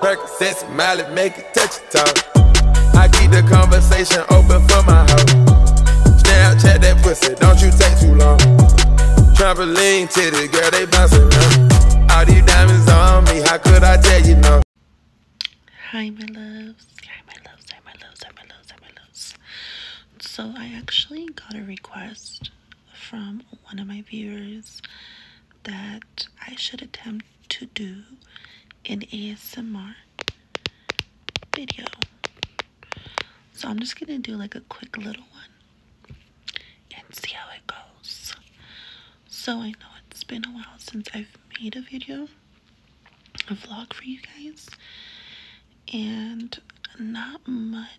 Percocet, smile it, make it touch your toe. I keep the conversation open for my hoe. Snapchat that pussy, don't you take too long. Trampoline titty, girl, they bouncing around. All these diamonds on me, how could I tell you no? Hi, my loves. Hi, my loves. Hi, my loves. Hi, my loves. Hi, my loves. So I actually got a request from one of my viewers that I should attempt to do an ASMR video. So I'm just gonna do like a quick little one and see how it goes. So I know it's been a while since I've made a video, a vlog for you guys, and not much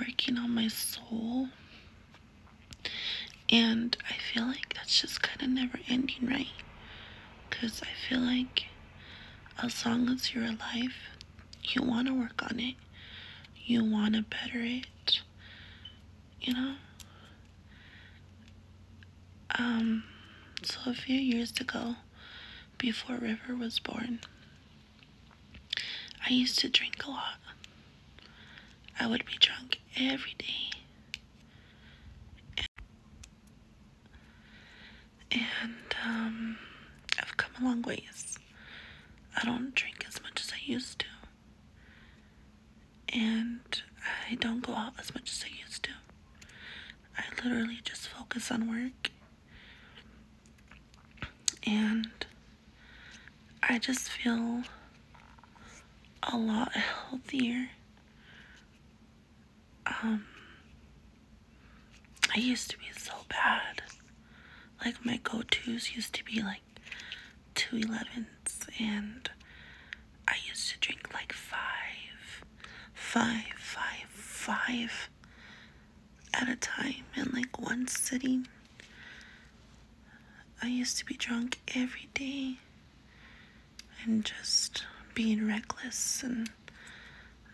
working on my soul. And I feel like that's just kind of never ending, right? Because I feel like as long as you're alive, you want to work on it, you want to better it, you know? Um, so a few years ago, before River was born, I used to drink a lot. I would be drunk every day. And, um, I've come a long ways. I don't drink as much as I used to. And I don't go out as much as I used to. I literally just focus on work and I just feel a lot healthier. Um, I used to be so bad. Like, my go tos used to be like two 11s, and I used to drink like five, five, five, five at a time in like one sitting. I used to be drunk every day and just being reckless and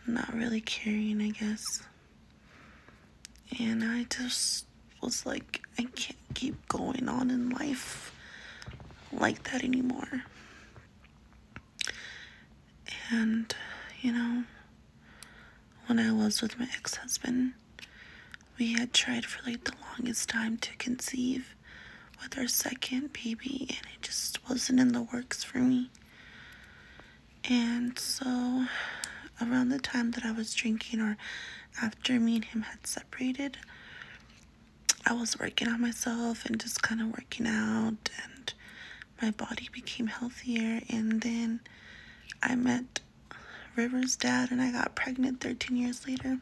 not really caring, I guess. And I just was like, I can't keep going on in life like that anymore. And, you know, when I was with my ex husband, we had tried for like the longest time to conceive with our second baby, and it just wasn't in the works for me. And so, around the time that I was drinking, or after me and him had separated, I was working on myself and just kind of working out and my body became healthier. And then I met River's dad and I got pregnant 13 years later.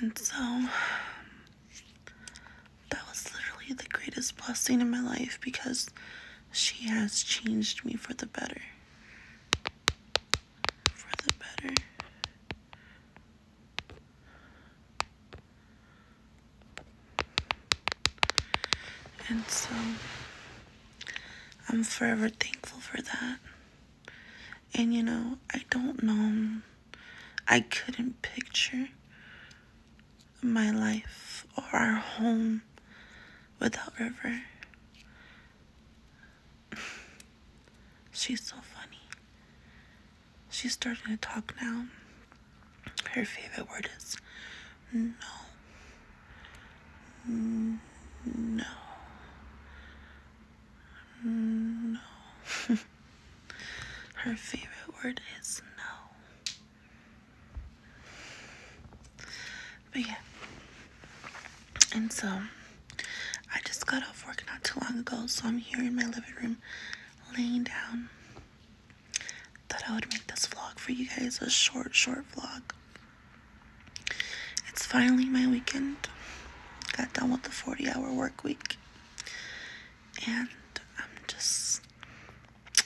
And so that was literally the greatest blessing in my life because she has changed me for the better. For the better. And so I'm forever thankful for that. And you know, I don't know, I couldn't picture my life or our home without River. She's so funny. She's starting to talk now. Her favorite word is no. No. No. her favorite word is no. But yeah. And so, I just got off work not too long ago, so I'm here in my living room laying down. Thought I would make this vlog for you guys a short, short vlog. It's finally my weekend. Got done with the 40 hour work week. And I'm just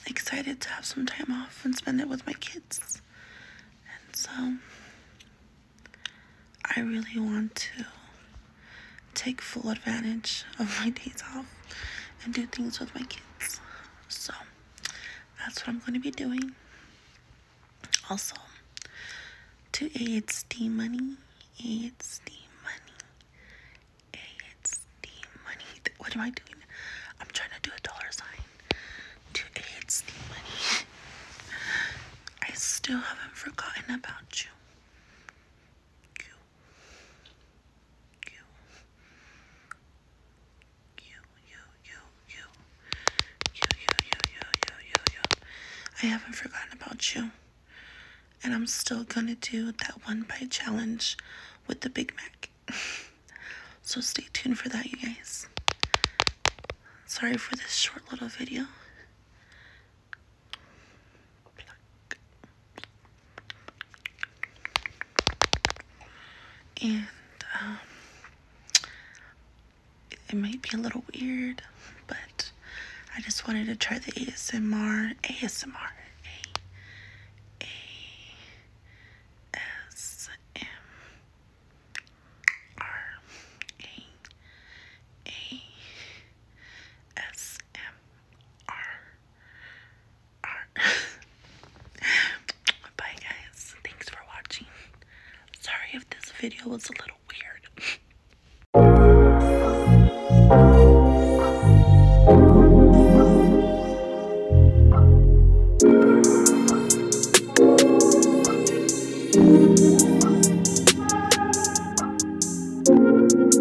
excited to have some time off and spend it with my kids. And so, I really want to take full advantage of my days off and do things with my kids. So that's what I'm going to be doing. Also, to A, it's Money. A, it's Steam Money. A, Money. What am I doing? I'm trying to do a dollar sign. To A, it's Money. I still haven't forgotten about you. You you. You, you, you, you. You, you, you, you, you, you, you. I haven't forgotten about you. And I'm still gonna do that one bite challenge with the Big Mac. so stay tuned for that, you guys. Sorry for this short little video. And it, um, it might be a little weird, but I just wanted to try the ASMR, ASMR, A, A, S, M, R, A, A, S, M, R. Bye, guys. Thanks for watching. Sorry if this video was a little weird.